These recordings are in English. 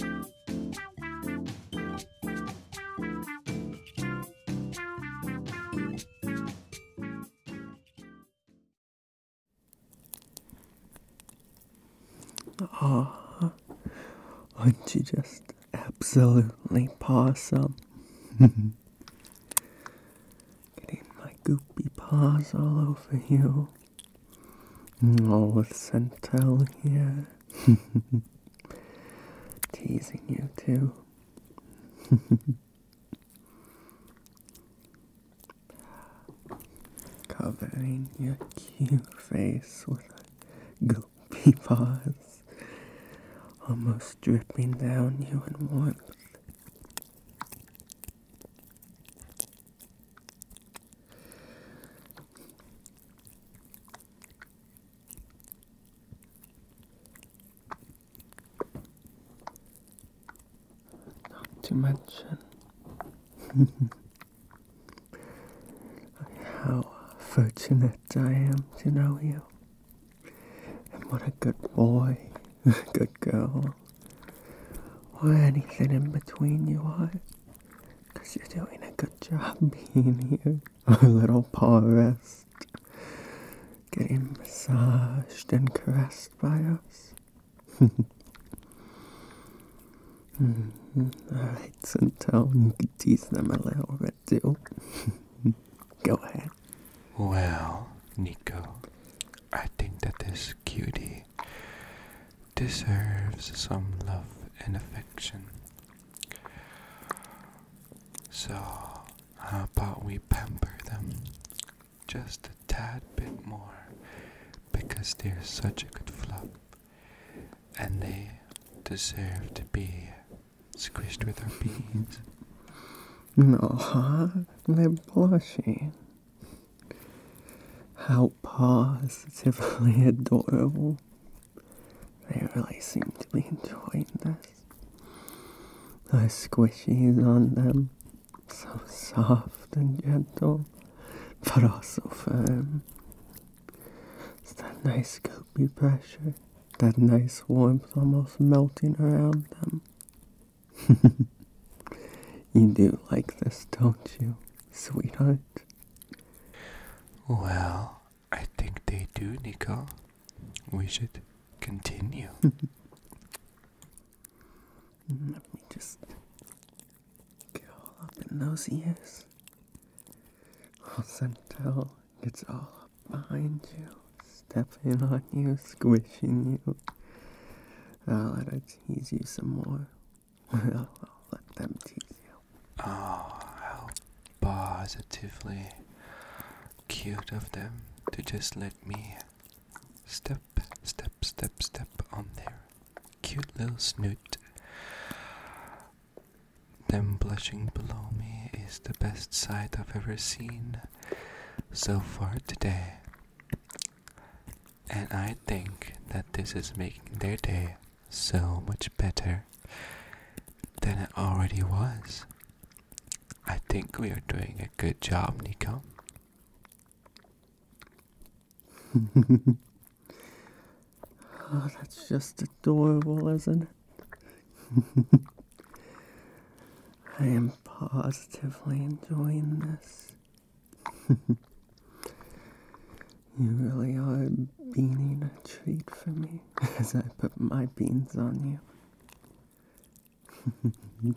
Oh, aren't you just absolutely possum? Getting my goopy paws all over you. Oh, Centel, here, Teasing you too. Covering your cute face with goopy paws, almost dripping down you in warmth. Not to mention how fortunate I am to know you, and what a good boy, good girl, or anything in between you are. Because you're doing a good job being here. Our little paw rest. Getting massaged and caressed by us. mm -hmm. Alright, Centel, you can tease them a little bit too. Go ahead. Well, Nico, I think that this cutie deserves some love and affection. So, how about we pamper them just a tad bit more because they're such a good flop and they deserve to be squished with our beans. No, huh? they're blushing. How positively adorable. They really seem to be enjoying this. The squishies on them, so soft and gentle, but also firm. It's that nice goopy pressure, that nice warmth almost melting around them. you do like this, don't you, sweetheart? Well, I think they do, Nico. We should continue. Let me just get all up in those ears. I'll Sentel gets all up behind you, stepping on you, squishing you. I'll let her tease you some more. I'll let them tease you. Oh, how positively cute of them to just let me step, step, step, step on there, cute little snoot. Them blushing below me is the best sight I've ever seen so far today. And I think that this is making their day so much better than it already was. I think we are doing a good job, Nico. Oh, that's just adorable, isn't it? I am positively enjoying this. you really are beaning a treat for me as I put my beans on you.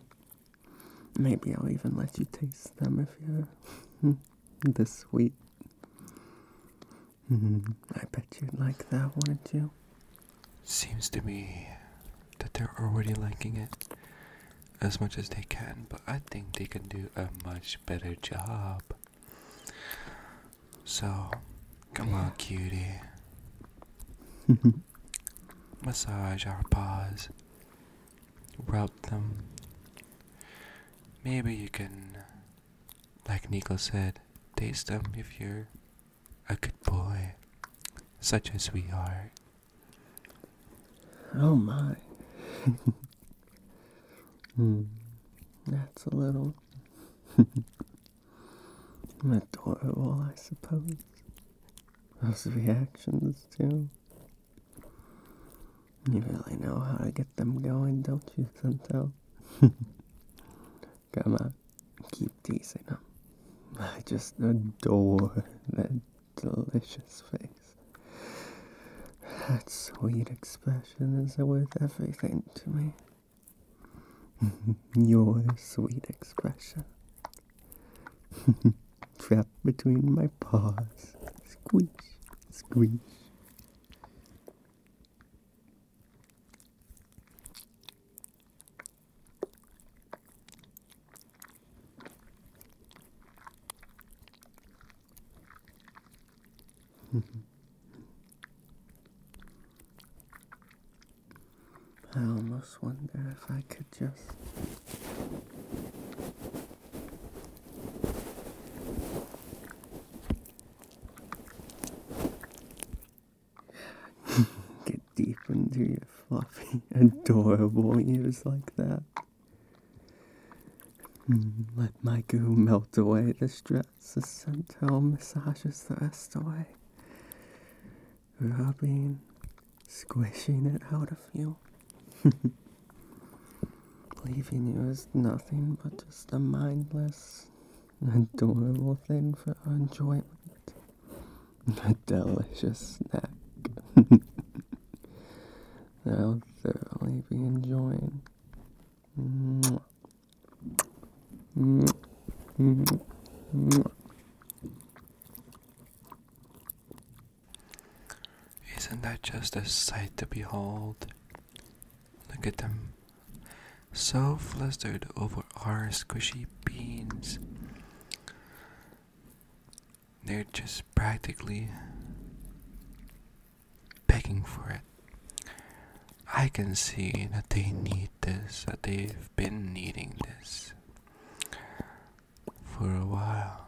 Maybe I'll even let you taste them if you're this sweet. I bet you'd like that, wouldn't you? Seems to me that they're already liking it as much as they can, but I think they can do a much better job. So, come on, cutie. Massage our paws. Rub them. Maybe you can, like Nico said, taste them if you're a good boy, such as we are. Oh my. mm, that's a little adorable, I suppose. Those reactions, too. You really know how to get them going, don't you, Santel? Come on keep teasing him. I just adore that delicious face. That sweet expression is worth everything to me. Your sweet expression. Trapped between my paws. Squeeze, squeeze. I almost wonder if I could just Get deep into your fluffy, adorable ears like that. Mm, let my goo melt away the stress as Centel massages the rest away. Rubbing, squishing it out of you. Leaving you as nothing but just a mindless, adorable thing for enjoyment. a delicious snack that I'll thoroughly be enjoying. Isn't that just a sight to behold? Look at them so flustered over our squishy beans. They're just practically begging for it. I can see that they need this, that they've been needing this for a while.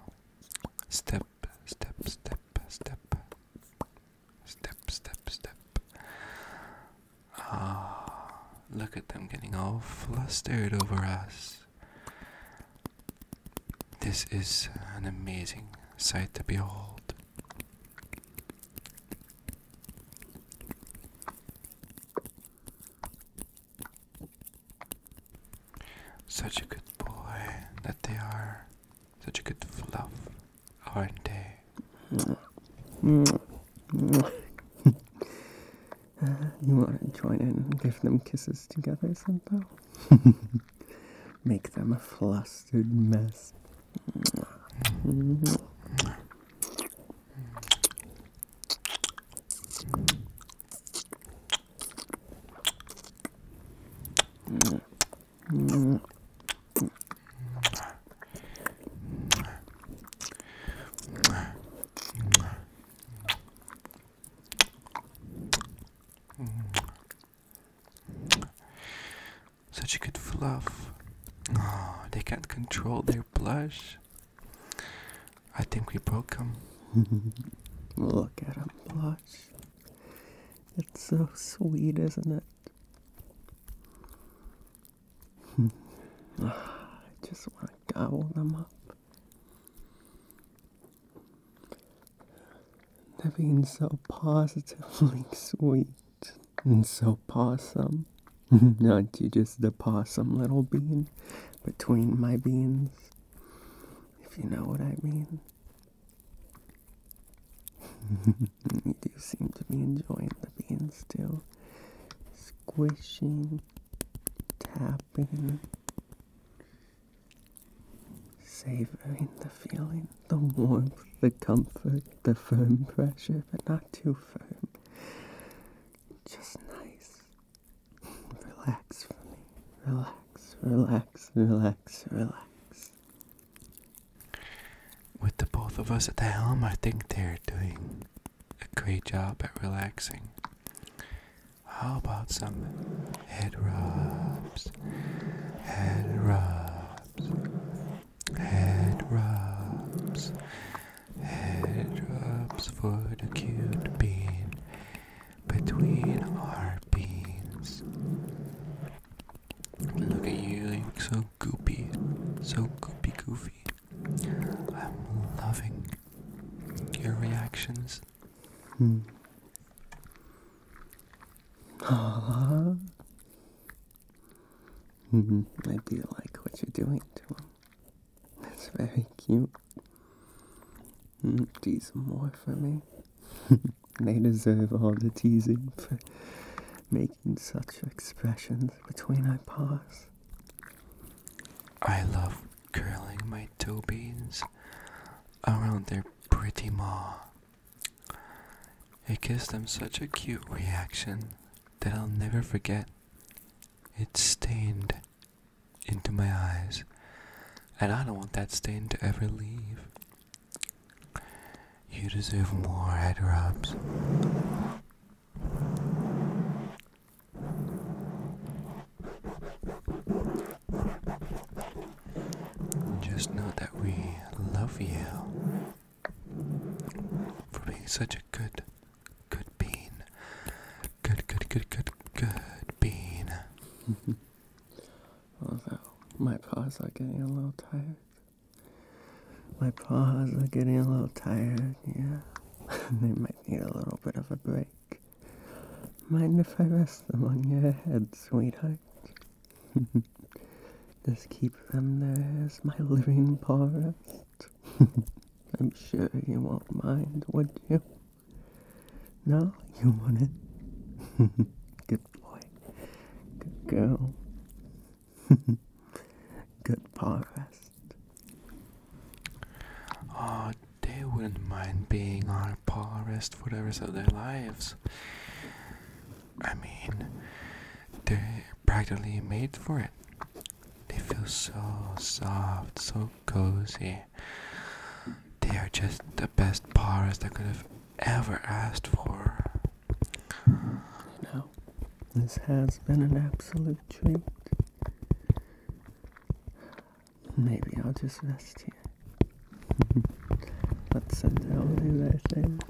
Step, step, step, step. Step, step, step. Ah, look at them getting all flustered over us. This is an amazing sight to behold. Such a good boy that they are, such a good fluff are they? you want to join in and give them kisses together somehow? Make them a flustered mess. Such a good fluff. Oh, they can't control their blush. I think we broke them. Look at him blush. It's so sweet, isn't it? I just want to gobble them up. They're being so positively sweet and so possum. Not you, just the possum little bean between my beans, if you know what I mean. You do seem to be enjoying the being still. Squishing, tapping, savoring the feeling, the warmth, the comfort, the firm pressure, but not too firm. Just nice. Relax for me. Relax, relax, relax, relax. With the both of us at the helm, I think they're doing a great job at relaxing. How about some head rubs? Head rubs. Head rubs. Head rubs for the cute bean between our beans. Look at you, you look so goopy, so goopy goofy. I'm loving your reactions. Hmm. Hmm, I do like what you're doing to him. That's very cute. Hmm, do some more for me. they deserve all the teasing for making such expressions between our paws. I love curling my toe beans around their pretty maw. It gives them such a cute reaction that I'll never forget. It stained into my eyes, and I don't want that stain to ever leave. You deserve more head rubs. Just know that we love you for being such a good, good bean. Good, good, good, good, good bean. my paws are getting a little tired. My paws are getting a little tired, yeah. they might need a little bit of a break. Mind if I rest them on your head, sweetheart? Just keep them there as my living paw I'm sure you won't mind, would you? No, you wouldn't. Good boy. girl. Good paw rest. Uh, they wouldn't mind being on a for the rest of their lives. I mean, they're practically made for it. They feel so soft, so cozy. They are just the best paw that could have ever asked for. You this has been an absolute treat. Maybe I'll just rest here. Let's sit down do that thing.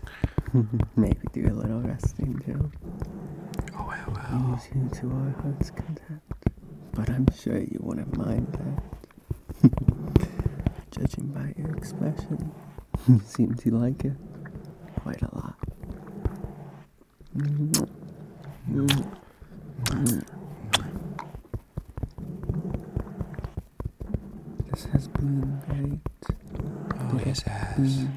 Maybe do a little resting too. Oh, I will. Use you to our heart's content. But I'm sure you wouldn't mind that. Judging by your expression, you seem to like it quite a lot. This has been great. Oh, it yes, has. you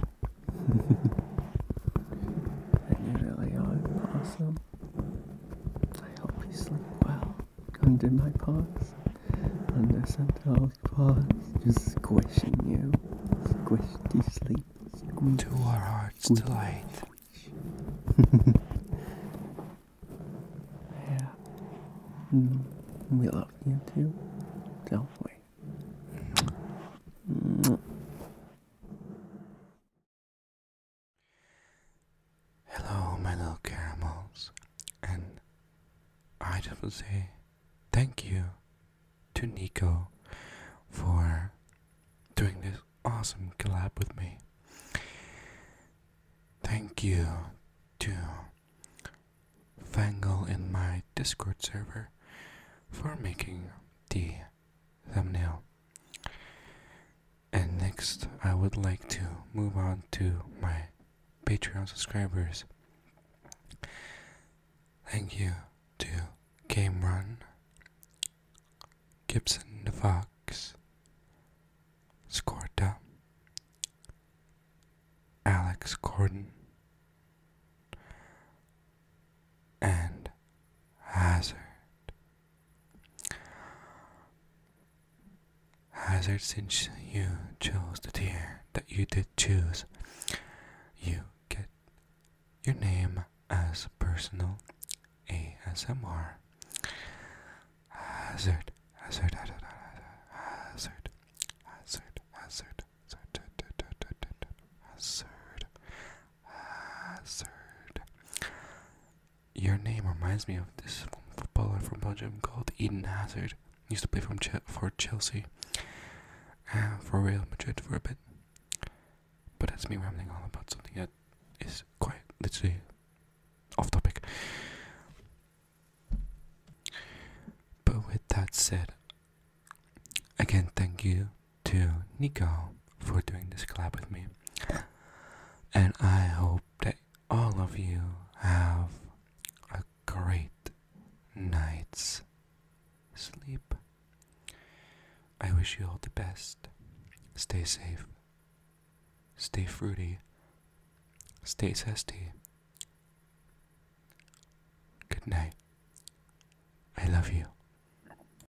really are awesome. I hope you sleep well. Under my paws. Under Santa's paws. Just squishing you. squishy to sleep. Squish. To our heart's delight. yeah. Mm, we love you too. Don't we? Mm. Mm. Hello, my little caramels, and I just want to say thank you to Nico for doing this awesome collab with me. Thank you to Fangle in my Discord server for making the thumbnail. And next, I would like to move on to my Patreon subscribers. Thank you to Cameron, Gibson the Fox, Scorta, Alex Gordon, and Hazard. Hazard, since you chose the tier that you did choose, you get your name as personal ASMR. Hazard, hazard, hazard, hazard, hazard, hazard, hazard, hazard, hazard, your name reminds me of this footballer from Belgium called Eden Hazard. He used to play from for Chelsea, for Real Madrid for a bit. But that's me rambling on about something that is quite literally off topic. But with that said, again, thank you to Nico for doing this collab with me. And I hope that all of you have a great night's sleep. I wish you all the best. Stay safe. Stay fruity. Stay zesty. Good night. I love you.